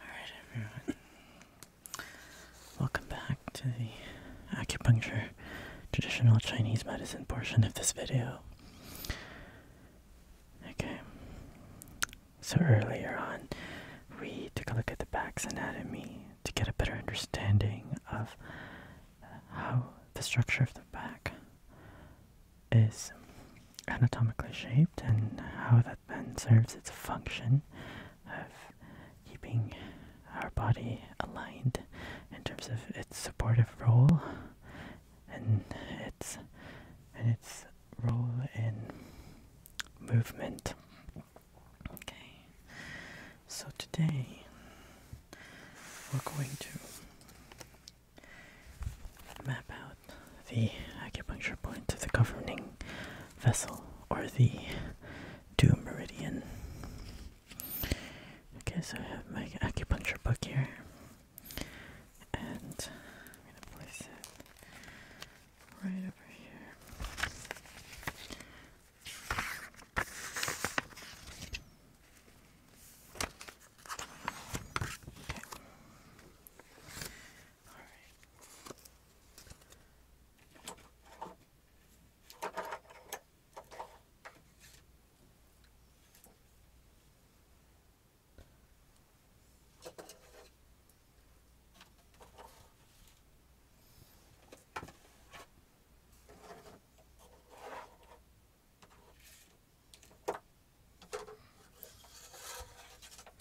Alright, everyone. Welcome back to the acupuncture traditional Chinese medicine portion of this video. Okay. So earlier on, we took a look at the back's anatomy to get a better understanding of uh, how the structure of the back is anatomically shaped and how that then serves its function of keeping our body aligned in terms of its supportive role and its and its role in movement. Okay. So today we're going to Map out the acupuncture point of the governing vessel or the dew meridian. Okay, so I have my acupuncture book here, and I'm gonna place it right over here. Okay. All right. Okay.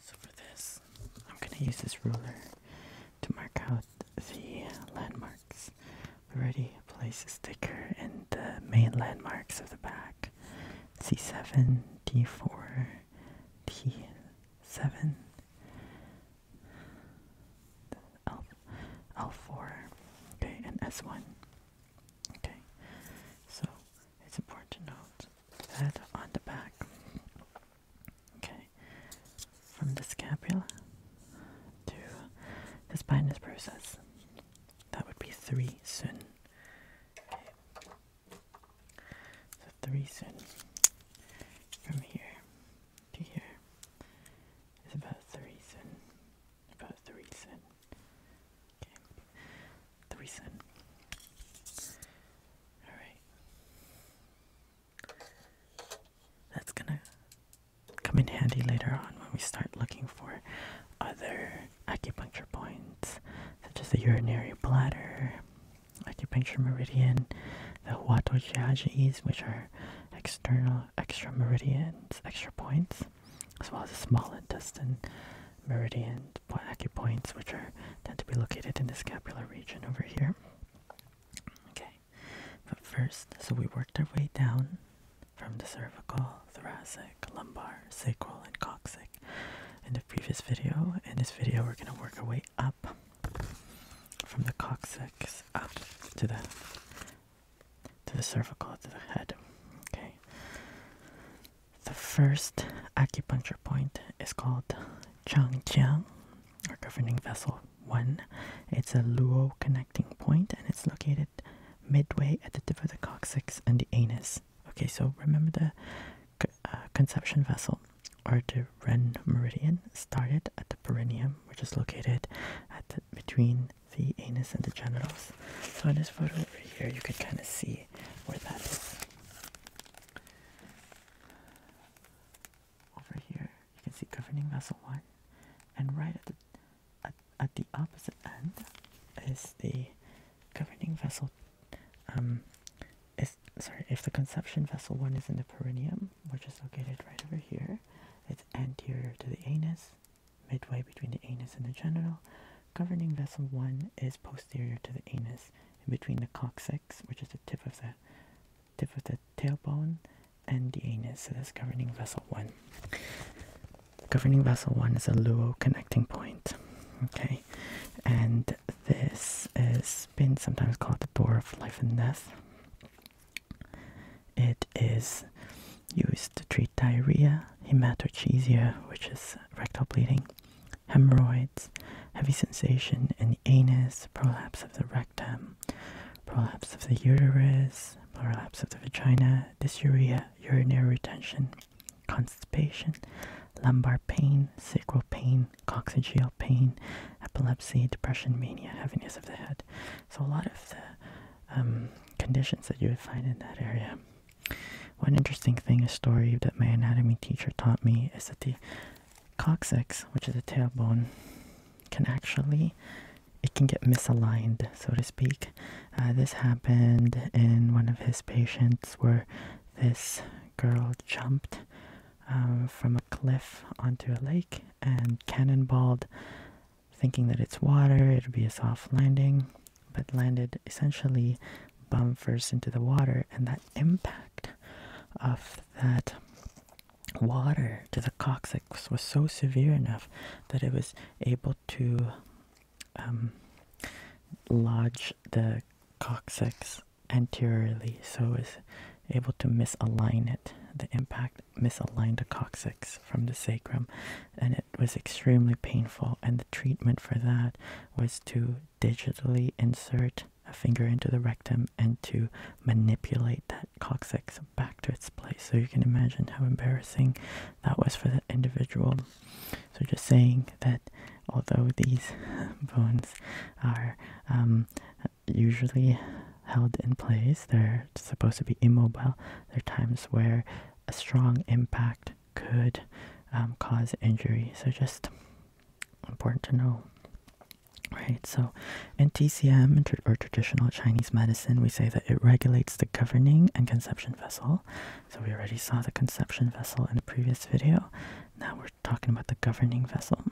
So for this, I'm going to use this ruler to mark out the landmarks. We already placed a sticker in the main landmarks of the back. C7, D4, D7, L, L4, okay, and S1. Okay, so it's important to note that on the back, okay, from the scapula to the spinous process, that would be three sun. Okay. So three sun from here to here is about three sun about the recent, Okay, the reason. Alright. That's gonna come in handy later on when we start looking for other acupuncture points, such as the urinary bladder, acupuncture meridian, the Huato Jiajis, which are external extra meridians, extra points, as well as the small intestine meridian acupoints, which are tend to be located in the scapular region over here. Okay, but first, so we worked our way down from the cervical, thoracic, lumbar, sacral, and coccyx in the previous video. In this video, we're going to work our way up from the coccyx up to the to the cervical, to the head. Okay. The first acupuncture point is called Changjiang, or governing vessel one. It's a luo connecting point, and it's located midway at the tip of the coccyx and the anus. Okay, so remember the uh, conception vessel or the Ren meridian started at the perineum, which is located at between the anus and the genitals. So in this photo over here, you can kind of see where that is. Over here, you can see governing vessel one, and right at the at, at the opposite end is the governing vessel. Um, is sorry if the conception vessel one is in the perineum, which is located right over here. It's anterior to the anus midway between the anus and the genital. Governing vessel 1 is posterior to the anus, in between the coccyx, which is the tip of the tip of the tailbone, and the anus. So that's governing vessel 1. Governing vessel 1 is a luo connecting point. Okay, and this has been sometimes called the door of life and death. It is used to treat diarrhea, hematochezia, which is rectal bleeding, hemorrhoids, heavy sensation in the anus, prolapse of the rectum, prolapse of the uterus, prolapse of the vagina, dysuria, urinary retention, constipation, lumbar pain, sacral pain, coccygeal pain, epilepsy, depression, mania, heaviness of the head. So a lot of the um, conditions that you would find in that area. One interesting thing, a story that my anatomy teacher taught me, is that the coccyx, which is the tailbone, can actually it can get misaligned, so to speak. Uh, this happened in one of his patients where this girl jumped uh, from a cliff onto a lake and cannonballed Thinking that it's water, it'd be a soft landing, but landed essentially bum first into the water, and that impact of that water to the coccyx was so severe enough that it was able to um, lodge the coccyx anteriorly, so was able to misalign it. The impact misaligned the coccyx from the sacrum, and it was extremely painful. And the treatment for that was to digitally insert a finger into the rectum and to manipulate that coccyx back to its place. So you can imagine how embarrassing that was for that individual. So just saying that although these bones are um, usually held in place, they're supposed to be immobile. There are times where a strong impact could um, cause injury. So just important to know. Right, so in TCM or traditional Chinese medicine, we say that it regulates the governing and conception vessel. So we already saw the conception vessel in a previous video. Now we're talking about the governing vessel.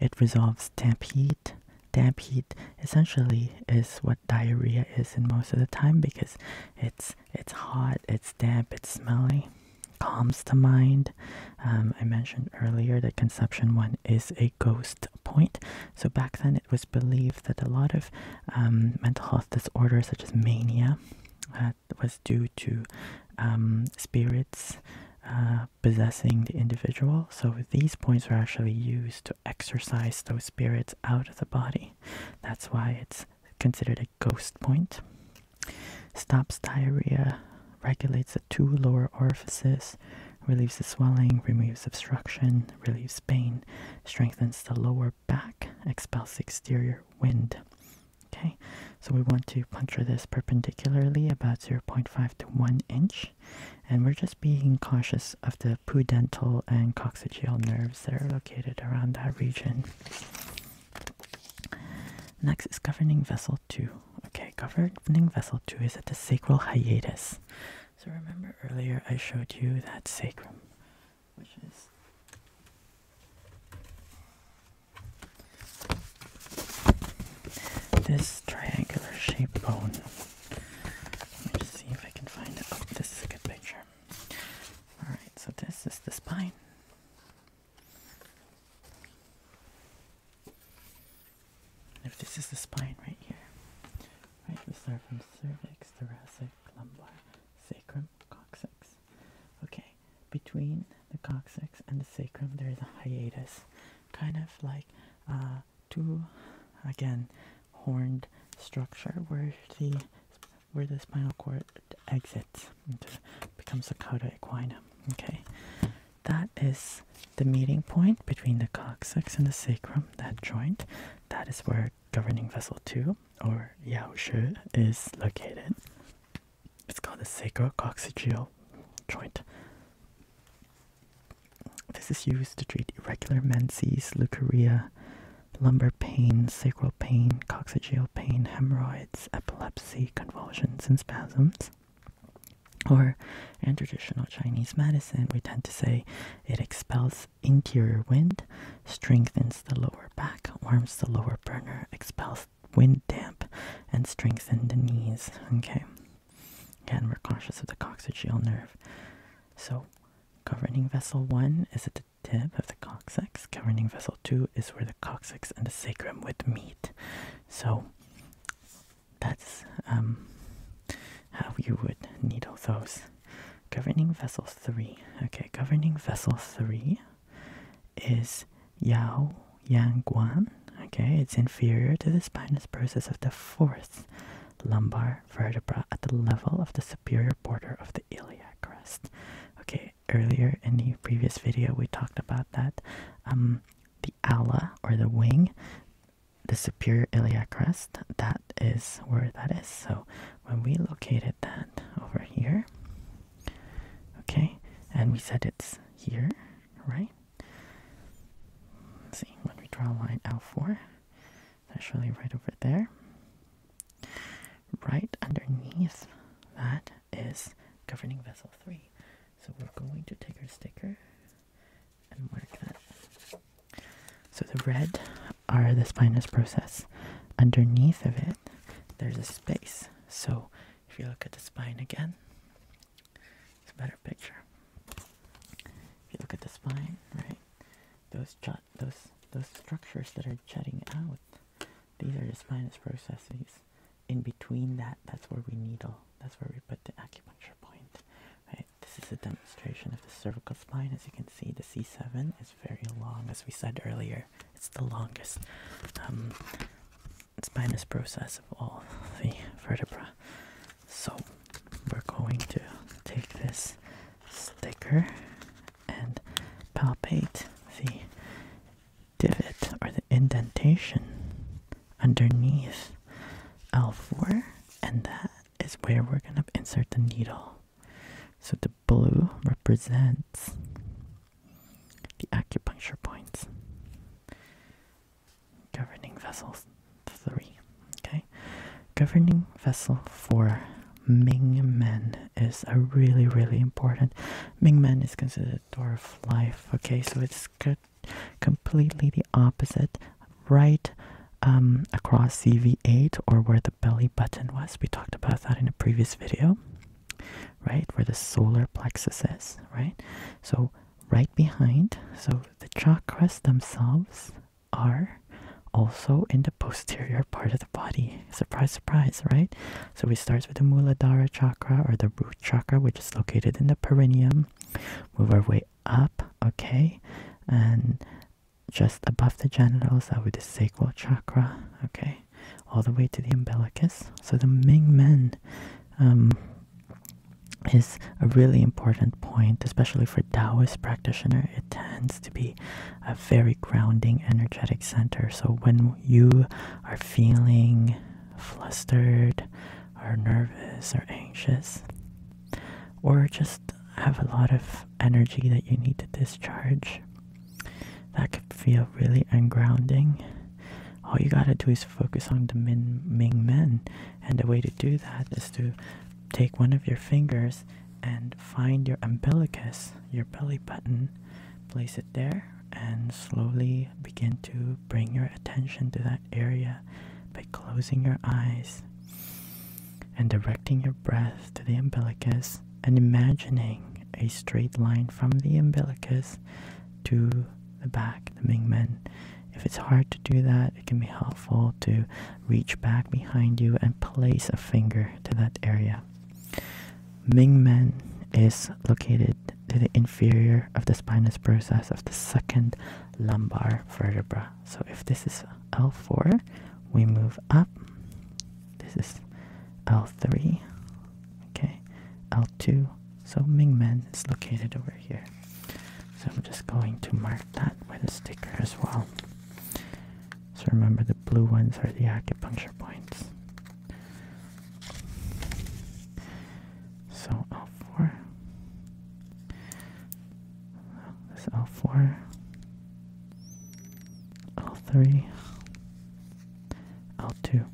It resolves damp heat. Damp heat essentially is what diarrhea is in most of the time because it's it's hot, it's damp, it's smelly. Calms the mind. Um, I mentioned earlier that conception one is a ghost point. So back then, it was believed that a lot of um, mental health disorders, such as mania, uh, was due to um, spirits uh, possessing the individual. So these points were actually used to to exorcise those spirits out of the body. That's why it's considered a ghost point. Stops diarrhea, regulates the two lower orifices, relieves the swelling, removes obstruction, relieves pain, strengthens the lower back, expels exterior wind. Okay, so we want to puncture this perpendicularly about 0.5 to 1 inch and we're just being cautious of the pudendal and coccygeal nerves that are located around that region. Next is governing vessel 2. Okay, governing vessel 2 is at the sacral hiatus. So remember earlier I showed you that sacrum, which is this triangular shaped bone. Let me just see if I can find it. Oh, this is a good picture. Alright, so this is the spine. If this is the spine right here, right, we start from cervix, thoracic, lumbar, sacrum, coccyx. Okay, between the coccyx and the sacrum, there is a hiatus, kind of like uh, two, again, horned structure where the where the spinal cord exits becomes the cauda equina. Okay, that is the meeting point between the coccyx and the sacrum. That joint, that is where governing vessel two or yao shu is located. It's called the sacrococcygeal joint. This is used to treat irregular menses, leukorrhea, lumbar pain, sacral pain, coccygeal pain, hemorrhoids, epilepsy, convulsions, and spasms. Or, in traditional Chinese medicine, we tend to say it expels interior wind, strengthens the lower back, warms the lower burner, expels wind damp, and strengthens the knees. Okay. Again, we're cautious of the coccygeal nerve. So, Governing vessel 1 is at the tip of the coccyx. Governing vessel 2 is where the coccyx and the sacrum would meet. So that's um, how you would needle those. Governing vessel 3. Okay, governing vessel 3 is Yao Yang Guan. Okay, it's inferior to the spinous process of the fourth lumbar vertebra at the level of the superior border of the iliac crest. Okay, earlier in the previous video we talked about that. Um, the ala or the wing, the superior iliac crest, that is where that is. So when we located that over here, okay, and we said it's here, right? Let's see, when we draw line out for. That's really right over there. Right underneath that is governing vessel 3. So we're going to take our sticker and mark that. So the red are the spinous process. Underneath of it, there's a space. So if you look at the spine again, it's a better picture. If you look at the spine, right? Those jot those those structures that are jutting out, these are the spinous processes. In between that, that's where we needle. That's where we put the acupuncture point. Right? This is a demonstration of the cervical spine. As you can see, the C7 is very long, as we said earlier. It's the longest um, spinous process of all the vertebra. So we're going to take this sticker and palpate the divot or the indentation underneath L4 and that is where we're going to insert the needle. So the blue represents the acupuncture points. Governing vessel 3. Okay. Governing vessel 4. Ming Men is a really, really important. Ming Men is considered door of life. Okay, so it's completely the opposite. Right um, across CV8 or where the belly button was. We talked about that in a previous video. Right, where the solar plexus is, right? So, right behind, so the chakras themselves are also in the posterior part of the body. Surprise, surprise, right? So we start with the Muladhara chakra or the root chakra, which is located in the perineum. Move our way up, okay? And just above the genitals, are would the sacral chakra, okay? All the way to the umbilicus. So the Ming Men um, is a really important point, especially for Taoist practitioner. It tends to be a very grounding, energetic center. So when you are feeling flustered, or nervous, or anxious, or just have a lot of energy that you need to discharge, that could feel really ungrounding. All you gotta do is focus on the Min Ming Men, and the way to do that is to take one of your fingers and find your umbilicus, your belly button, place it there, and slowly begin to bring your attention to that area by closing your eyes and directing your breath to the umbilicus and imagining a straight line from the umbilicus to the back, the Mingmen, if it's hard to do that, it can be helpful to reach back behind you and place a finger to that area. Mingmen is located to the inferior of the spinous process of the second lumbar vertebra. So if this is L4, we move up. This is L3. Okay, L2. So Mingmen is located over here. So I'm just going to mark that with a sticker as well. So remember the blue ones are the acupuncture points. So L4. This L4. L3. L2.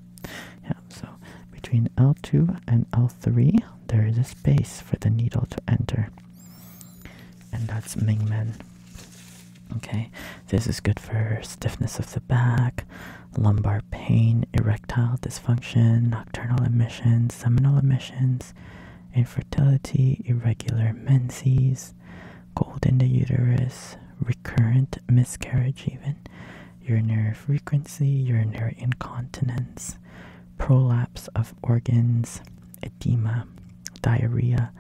Yeah, so between L2 and L3 there is a space for the needle to enter. And that's Mingmen. Okay, this is good for stiffness of the back, lumbar pain, erectile dysfunction, nocturnal emissions, seminal emissions, infertility, irregular menses, cold in the uterus, recurrent miscarriage, even urinary frequency, urinary incontinence, prolapse of organs, edema, diarrhea,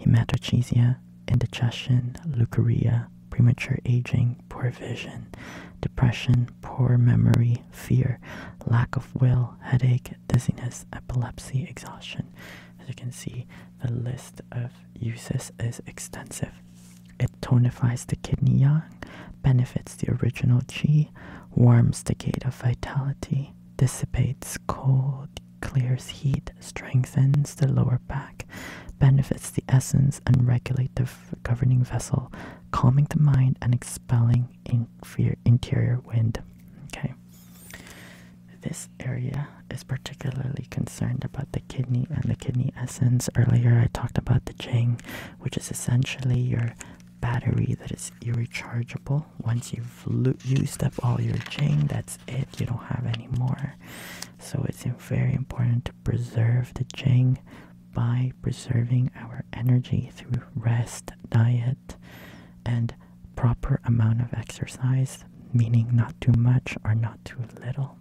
hematochezia, indigestion, leukorrhea, premature aging, poor vision, depression, poor memory, fear, lack of will, headache, dizziness, epilepsy, exhaustion. As you can see, the list of uses is extensive. It tonifies the kidney yang, benefits the original chi, warms the gate of vitality, dissipates cold, clears heat, strengthens the lower back, benefits the essence and regulate the governing vessel, calming the mind and expelling interior wind. Okay. This area is particularly concerned about the kidney and the kidney essence. Earlier, I talked about the Jing, which is essentially your battery that is rechargeable. Once you've used up all your chain, that's it. You don't have any more. So it's very important to preserve the chain by preserving our energy through rest, diet, and proper amount of exercise, meaning not too much or not too little.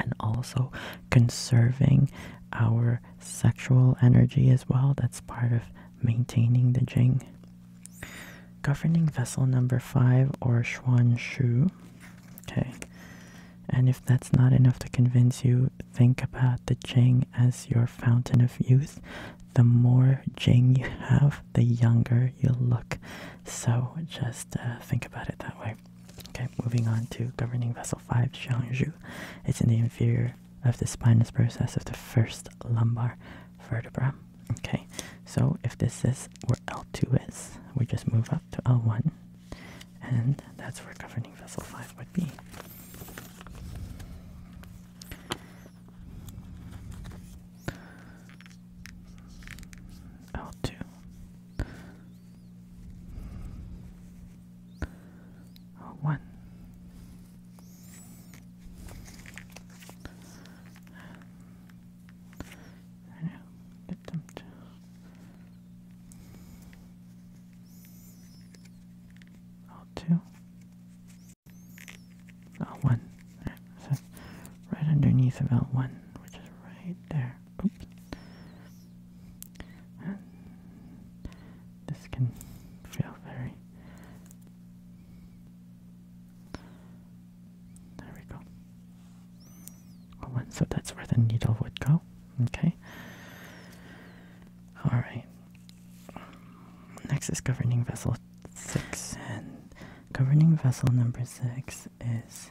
And also conserving our sexual energy as well. That's part of maintaining the Jing. Governing vessel number five or Xuan Shu. Okay. And if that's not enough to convince you, think about the Jing as your fountain of youth. The more Jing you have, the younger you look. So just uh, think about it that way. Okay, moving on to governing vessel 5, Shu. It's in the inferior of the spinous process of the first lumbar vertebra. Okay, so if this is where L2 is, we just move up to L1, and that's where governing vessel 5 would be. L2. Oh, one. I know. Get them to. Oh, two. Right, so right underneath of L1, which is right there this can feel very. There we go. so that's where the needle would go. Okay. Alright. Next is governing vessel 6. And governing vessel number 6 is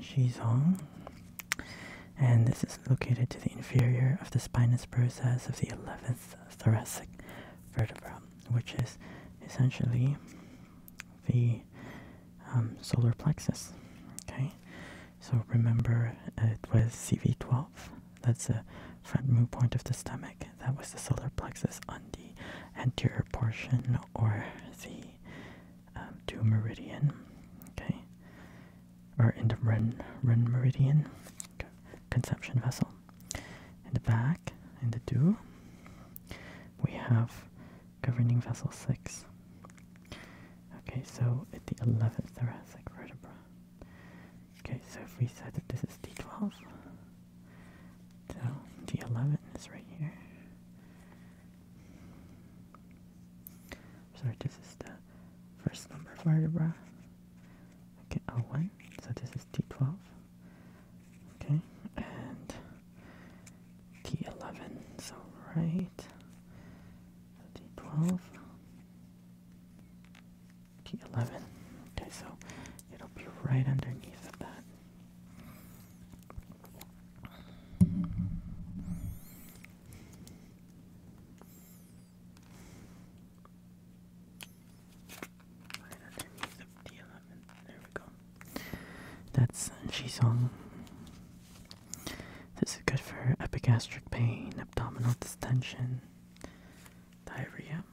Shizong and this is located to the inferior of the spinous process of the 11th thoracic vertebra, which is essentially the um, solar plexus. Okay, so remember uh, it was CV12, that's the front move point of the stomach, that was the solar plexus on the anterior portion or the um, Meridian, okay, or into Ren, Ren Meridian, okay. conception vessel. In the back, in the do, we have governing vessel 6. Okay, so at the 11th thoracic vertebra. Okay, so if we said that this is D12, so D11 is right here sorry, this is the first number vertebra. Okay, O1, so this is T12. Okay, and T11, so right. So T12. T11. Okay, so it'll be right underneath of that. There we go. That's Shizong. This is good for epigastric pain, abdominal distension, diarrhea.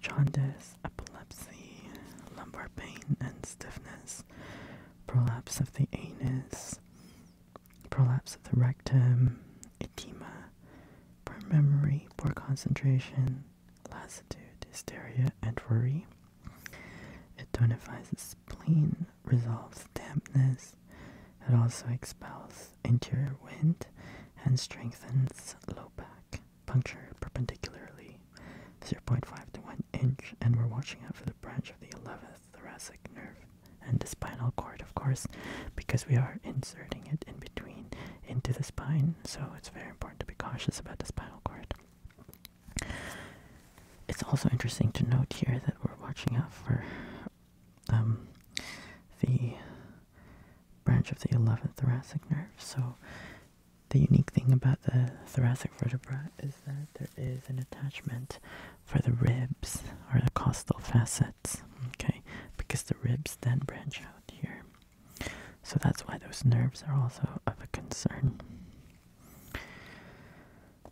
Jaundice, epilepsy, lumbar pain and stiffness, prolapse of the anus, prolapse of the rectum, edema, poor memory, poor concentration, lassitude, hysteria, and worry, it tonifies the spleen, resolves dampness, it also expels interior wind and strengthens low back. Puncture perpendicularly 0.5 to 1 inch, and we're watching out for the branch of the 11th thoracic nerve and the spinal cord, of course, because we are inserting it in between into the spine, so it's very important to be cautious about the spinal cord. It's also interesting to note here that we're watching out for um, the branch of the 11th thoracic nerve. So, the unique thing about the thoracic vertebra is that there is an attachment for the ribs or the costal facets, okay, because the ribs then branch out here. So, that's why those nerves are also of a concern.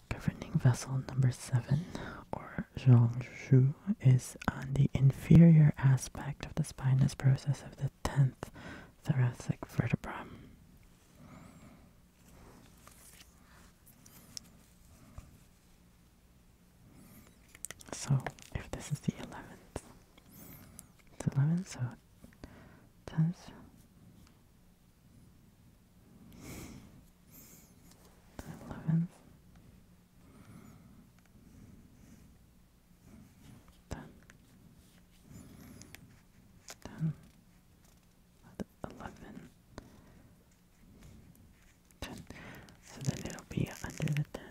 Governing vessel number 7, or Shu, is on the inferior aspect of the spinous process of the 10th thoracic vertebra. So, if this is the 11th, it's 11, so 10th, eleven, ten, ten, eleven, ten. So then it'll be under the ten.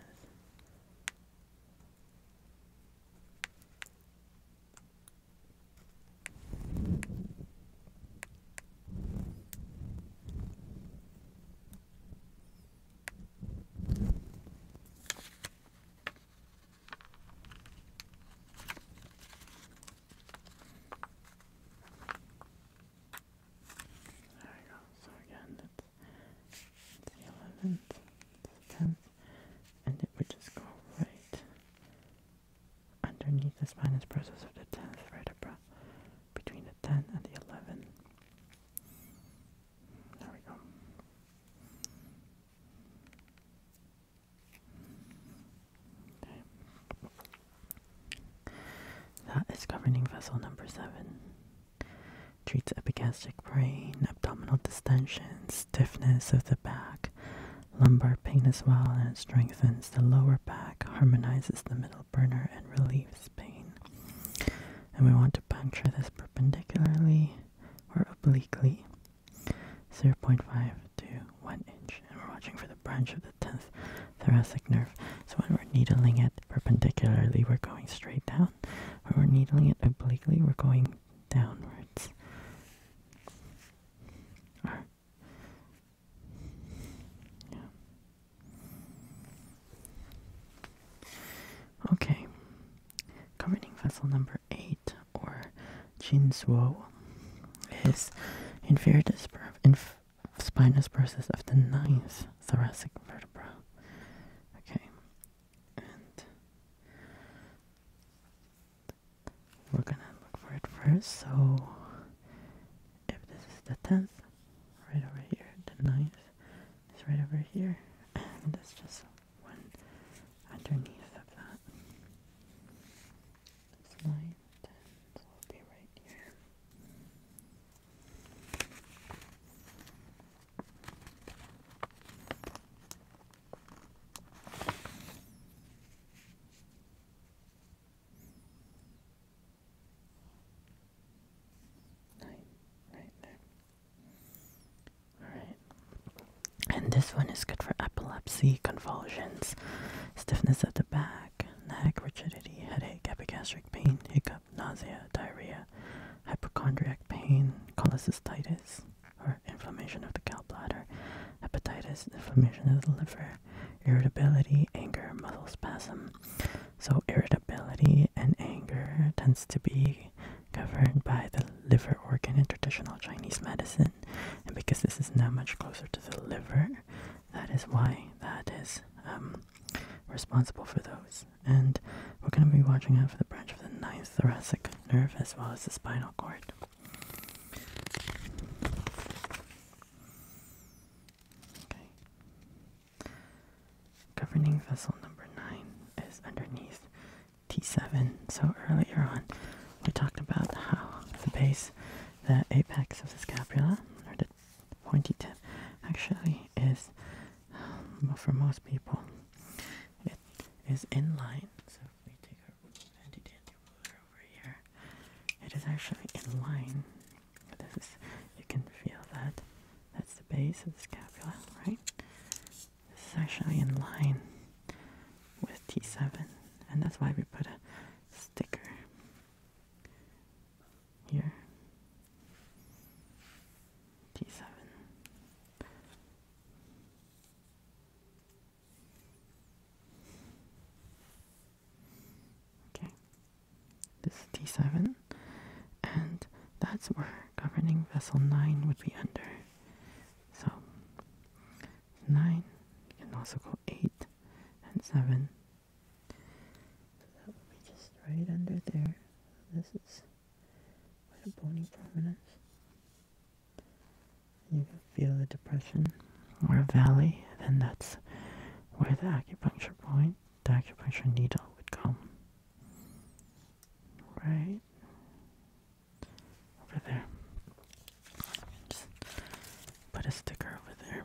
There we go. So again, that's eleventh, tenth, and it would just go right Underneath the spinous process of the 10th vertebra, between the 10 and the 11. There we go. That is governing vessel number 7. Treats epigastric pain, abdominal distension, stiffness of the back, lumbar pain as well, and it strengthens the lower back, harmonizes the middle burner, and relieves pain. And we want to puncture this perpendicularly or obliquely, 0.5 to 1 inch. And we're watching for the branch of the 10th thoracic nerve. So when we're needling it perpendicularly, we're going straight down. When we're needling it obliquely, we're going downwards. Or, Okay. Governing vessel number eight, or Jinzuo, is inferior inf spinous process of the ninth thoracic vertebra. Okay we're gonna look for it first. So, if this is the 10th, right over here, the ninth is right over here, and that's just one underneath of that. It's 9, will be right here. And this one is good for epilepsy, convulsions, stiffness of the back, neck, rigidity, headache, epigastric pain, hiccup, nausea, diarrhea, hypochondriac pain, cholecystitis or inflammation of the gallbladder, hepatitis, inflammation of the liver, irritability, anger, muscle spasm. So irritability and anger tends to be governed by the liver organ in traditional Chinese medicine. And because this is now much closer to the liver, that is why that is um, responsible for those. And we're going to be watching out for the branch of the ninth thoracic nerve as well as the spinal cord. Governing vessel number nine is underneath T7. So earlier on, we talked about how the base, the apex of the scapula, or the pointy tip, actually is, um, for most people, it is in line handy dandy over here. It is actually in line. This is, you can feel that. That's the base of the scapula, right? This is actually in line with T7, and that's why we put a sticker here. T7. Okay, this is D7, and that's where governing vessel 9 would be under. So, 9 you can also go 8 and 7. So that would be just right under there. This is quite a bony prominence you can feel a depression or a valley, then that's where the acupuncture point, the acupuncture needle would go. Right over there. Just put a sticker over there.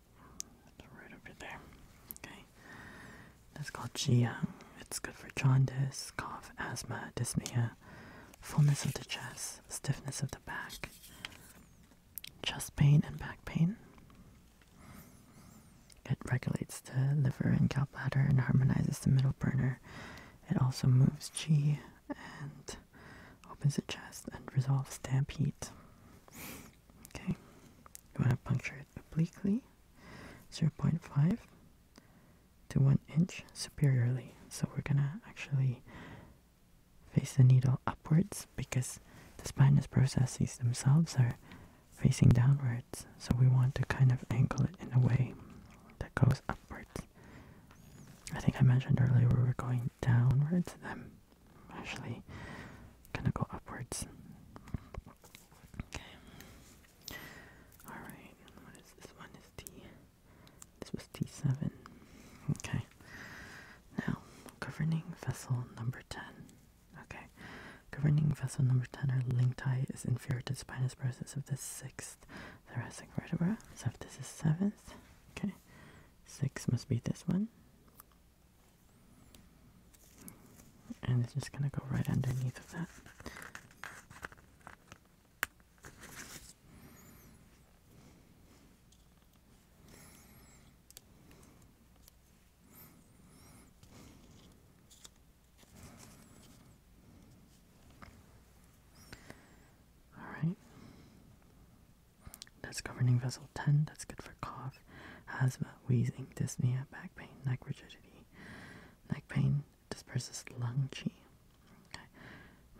right over there. Okay. That's called Jiang. It's good for jaundice, cough, asthma, dyspnea, fullness of the chest, stiffness of the back, chest pain, and back pain. It regulates the liver and gallbladder and harmonizes the middle burner. It also moves qi and opens the chest and resolves damp heat. Okay, we're going to puncture it obliquely, 0.5 to 1 inch superiorly. So we're gonna actually face the needle upwards because the spinous processes themselves are facing downwards. So we want to kind of angle it in a way that goes upwards. I think I mentioned earlier we were going downwards. I'm actually gonna go upwards. Okay. Alright, what is this one? Is T this was T seven. Okay. Now governing vessel number ten. Okay. Governing vessel number ten or Tai is inferior to spinous process of the sixth thoracic vertebra. So if this is seventh, okay. Six must be this one. And it's just going to go right underneath of that. All right. That's governing vessel 10. That's good for cough, asthma, wheezing, dyspnea, back pain, neck rigidity. Neck pain disperses lung qi.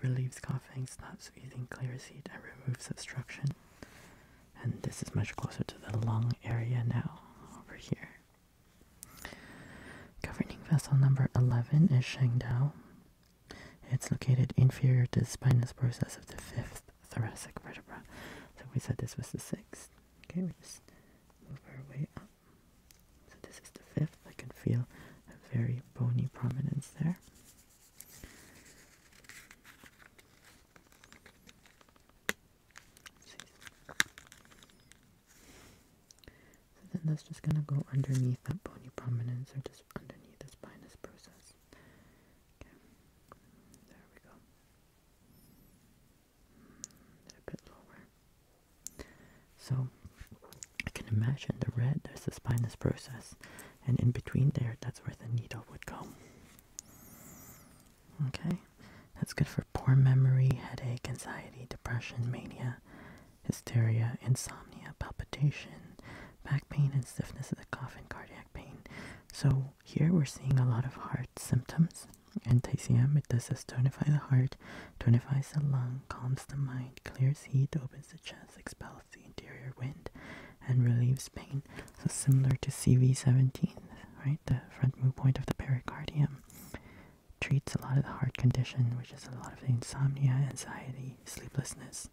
Relieves coughing, stops wheezing, clears heat, and removes obstruction. And this is much closer to the lung area now, over here. Governing vessel number 11 is Shengdao. It's located inferior to the spinous process of the fifth thoracic vertebra. So we said this was the sixth. Okay, we just move our way up. So this is the fifth. I can feel a very bony prominence there. So then that's just going to go underneath that bony prominence or just underneath the spinous process. Okay, there we go. Mm, a bit lower. So I can imagine the red, there's the spinous process, and in between there, that's where the needle would go. Okay, that's good for poor memory, headache, anxiety, depression, mania, hysteria, insomnia, palpitation, back pain, and stiffness of the cough and cardiac pain. So here we're seeing a lot of heart symptoms. Anti-CM, it does this tonify the heart, tonifies the lung, calms the mind, clears heat, opens the chest, expels the interior wind, and relieves pain. So similar to CV17, right? The front move point of the pericardium treats a lot of the heart condition, which is a lot of insomnia, anxiety, sleeplessness.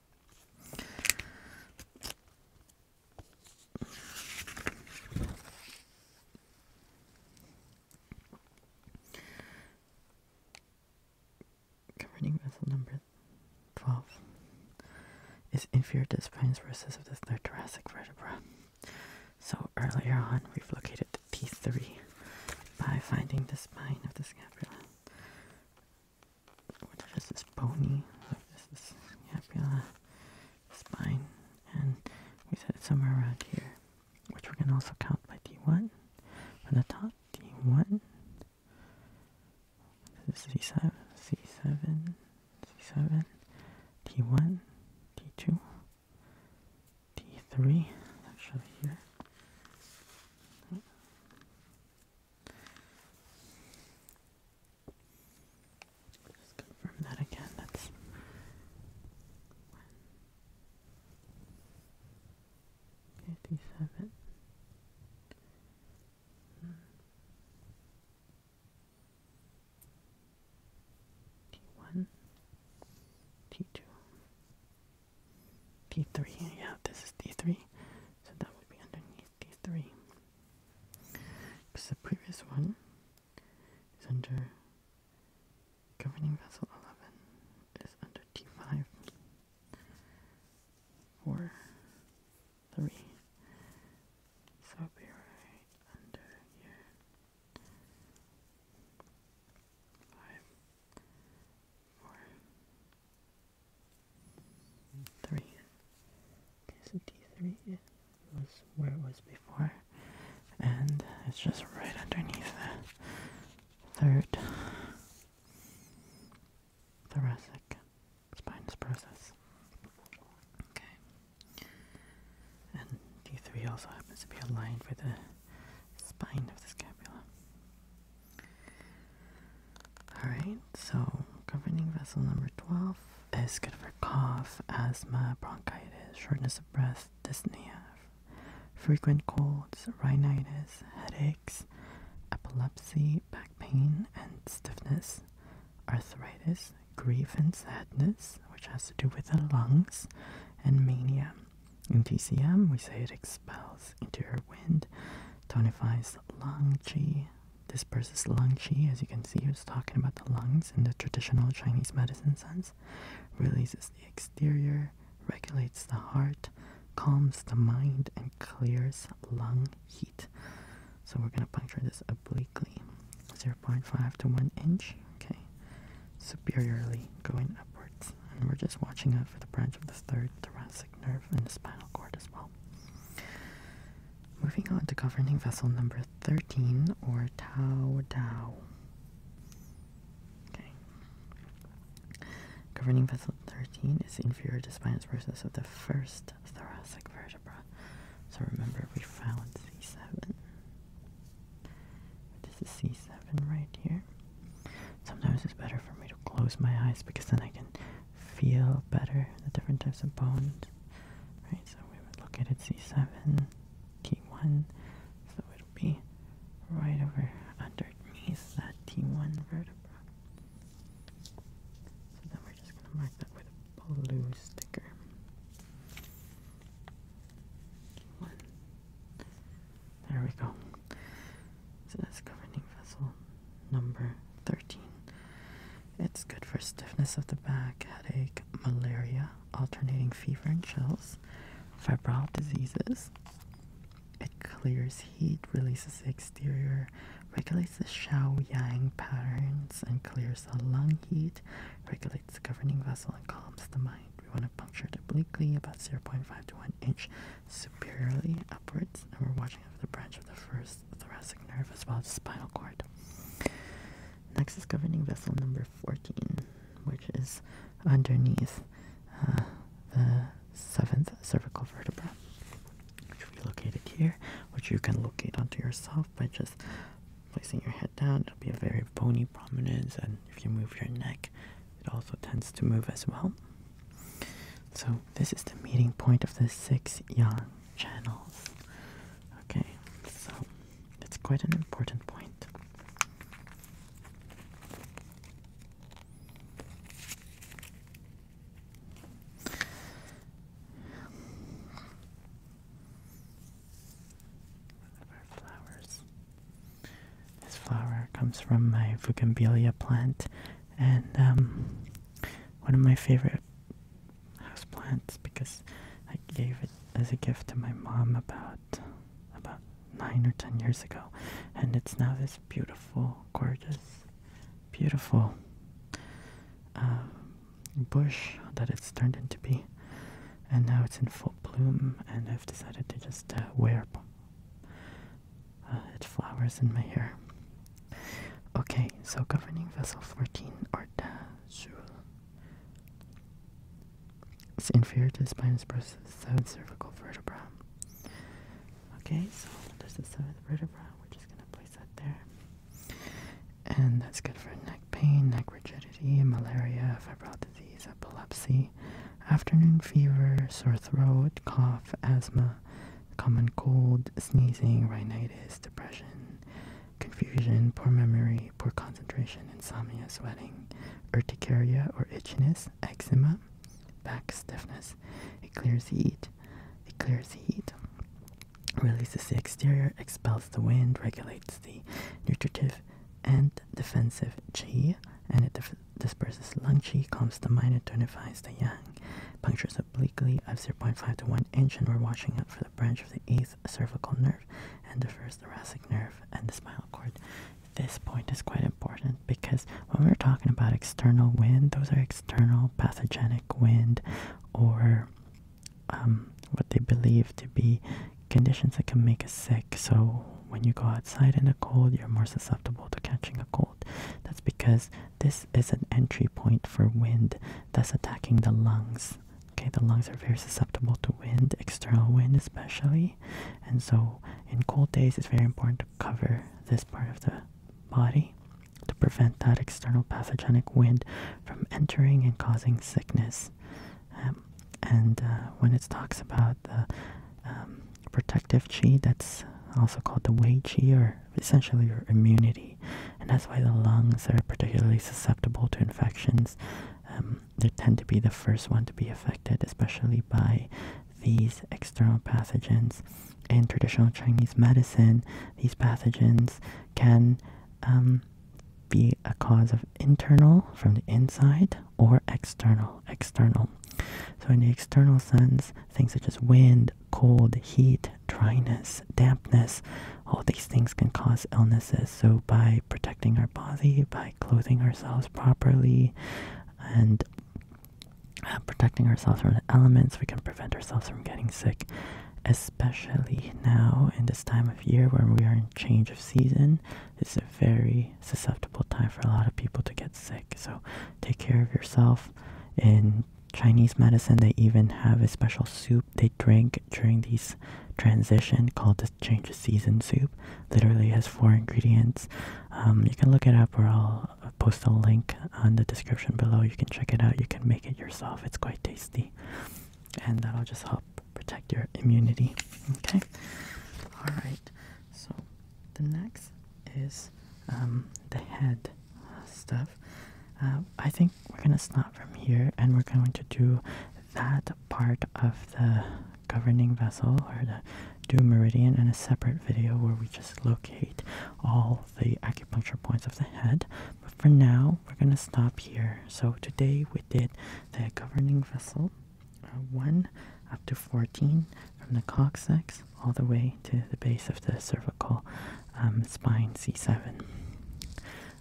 Governing vessel number 12 is inferior to the spine's versus of the third thoracic vertebra. So earlier on, we've located the T3 by finding the spine of the scapula what if this bony, what this is scapula, spine, and we said it's somewhere around here, which we can also count by D1, from the top, D1, this is C7, C7, C7, T1, T2, T3, actually here. Just confirm that again. That's fifty-seven. T1, T2, T3. Yeah, this is T3. So that would be underneath T3. Because the previous one is under governing vessel 11, It's under T5 4 3. So it'll be right under here. 5 4 3. Okay, so D3 was where it was before, and it's just right underneath the third thoracic spines process. Okay. And D3 also happens to be aligned with the spine of the scapula. Alright, so governing vessel number 12 is good for cough, asthma, bronchitis, shortness of breath, dyspnea, frequent colds, rhinitis, headaches, epilepsy, back pain, and stiffness, arthritis, grief and sadness, which has to do with the lungs, and mania. In TCM, we say it expels into interior wind, tonifies lung qi, this verse is lung qi, as you can see, he's talking about the lungs in the traditional Chinese medicine sense. Releases the exterior, regulates the heart, calms the mind, and clears lung heat. So we're going to puncture this obliquely, 0.5 to 1 inch, okay, superiorly going upwards. And we're just watching out for the branch of the third thoracic nerve and the spinal cord as well. Moving on to governing vessel number 13, or Tao Dao. Okay. Governing vessel 13 is inferior to spinous process of the first thoracic vertebra. So remember, we found C7. This is C7 right here. Sometimes it's better for me to close my eyes because then I can feel better, the different types of bones. Right, so we would look at it C7, T1, so it'll be right over underneath that T1 vertebra. So then we're just going to mark that with a blue sticker. one There we go. So that's governing vessel. Number 13. It's good for stiffness of the back, headache, malaria, alternating fever and chills, febrile diseases. It clears heat, releases the exterior, regulates the Xiao Yang patterns, and clears the lung heat, regulates the governing vessel, and calms the mind. We want to puncture it obliquely, about 0.5 to 1 inch, superiorly upwards, and we're watching over the branch of the first thoracic nerve as well as the spinal cord. Next is governing vessel number 14, which is underneath uh, the seventh cervical vertebra, which we located here, which you can locate onto yourself by just placing your head down. It'll be a very bony prominence, and if you move your neck, it also tends to move as well. So this is the meeting point of the six yang channels. Okay, so it's quite an important point. Flowers. This flower comes from my Fugambelia plant, and um, one of my favorite houseplants because I gave it as a gift to my mom about about nine or ten years ago, and it's now this beautiful, gorgeous, beautiful um, bush that it's turned into be, and now it's in full bloom. And I've decided to just uh, wear uh, it flowers in my hair. Okay, so governing vessel 14, Orta It's inferior to the spinous process, 7th cervical vertebra. Okay, so there's the 7th vertebra. We're just going to place that there. And that's good for neck pain, neck rigidity, malaria, febrile disease, epilepsy, afternoon fever, sore throat, cough, asthma, common cold, sneezing, rhinitis, depression, confusion, poor memory, poor concentration, insomnia, sweating, urticaria or itchiness, eczema, back stiffness. It clears the heat. It clears the heat. Releases the exterior, expels the wind, regulates the nutritive and defensive qi, and it disperses lung qi, calms the mind, and tonifies the yang. Punctures obliquely of 0.5 to 1 inch, and we're watching out for the branch of the 8th cervical nerve and the first thoracic nerve and the spinal cord. This point is quite important because when we're talking about external wind, those are external pathogenic wind or um, what they believe to be conditions that can make us sick. So when you go outside in the cold, you're more susceptible to catching a cold. That's because this is an entry point for wind, thus attacking the lungs. Okay, the lungs are very susceptible to wind, external wind especially. And so in cold days, it's very important to cover this part of the body to prevent that external pathogenic wind from entering and causing sickness. Um, and uh, when it talks about the um, protective chi that's also called the wei chi or essentially your immunity and that's why the lungs are particularly susceptible to infections um, they tend to be the first one to be affected especially by these external pathogens in traditional chinese medicine these pathogens can um, be a cause of internal from the inside or external external so in the external sense things such as wind, cold, heat, dryness, dampness, all these things can cause illnesses. So, by protecting our body, by clothing ourselves properly, and uh, protecting ourselves from the elements, we can prevent ourselves from getting sick, especially now in this time of year where we are in change of season. It's a very susceptible time for a lot of people to get sick. So, take care of yourself. In Chinese medicine, they even have a special soup they drink during these transition called the change of season soup. Literally has four ingredients. Um, you can look it up, or I'll post a link on the description below. You can check it out. You can make it yourself. It's quite tasty, and that'll just help protect your immunity. Okay. All right. So the next is um, the head stuff. Uh, I think we're gonna stop from here and we're going to do that part of the governing vessel or the due meridian in a separate video where we just locate all the acupuncture points of the head. But for now, we're gonna stop here. So today we did the governing vessel uh, 1 up to 14 from the coccyx all the way to the base of the cervical um, spine C7.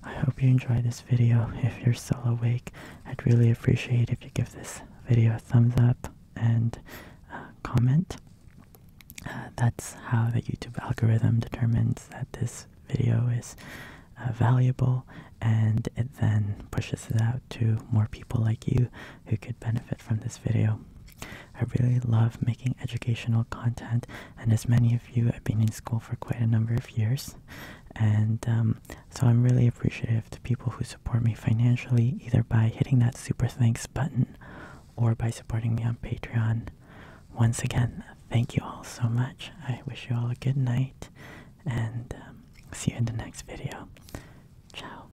I hope you enjoyed this video. If you're still awake, I'd really appreciate if you give this video a thumbs up and uh, comment. Uh, that's how the YouTube algorithm determines that this video is uh, valuable and it then pushes it out to more people like you who could benefit from this video. I really love making educational content, and as many of you, have been in school for quite a number of years, and um, so I'm really appreciative to people who support me financially, either by hitting that super thanks button or by supporting me on Patreon. Once again, thank you all so much. I wish you all a good night, and um, see you in the next video. Ciao.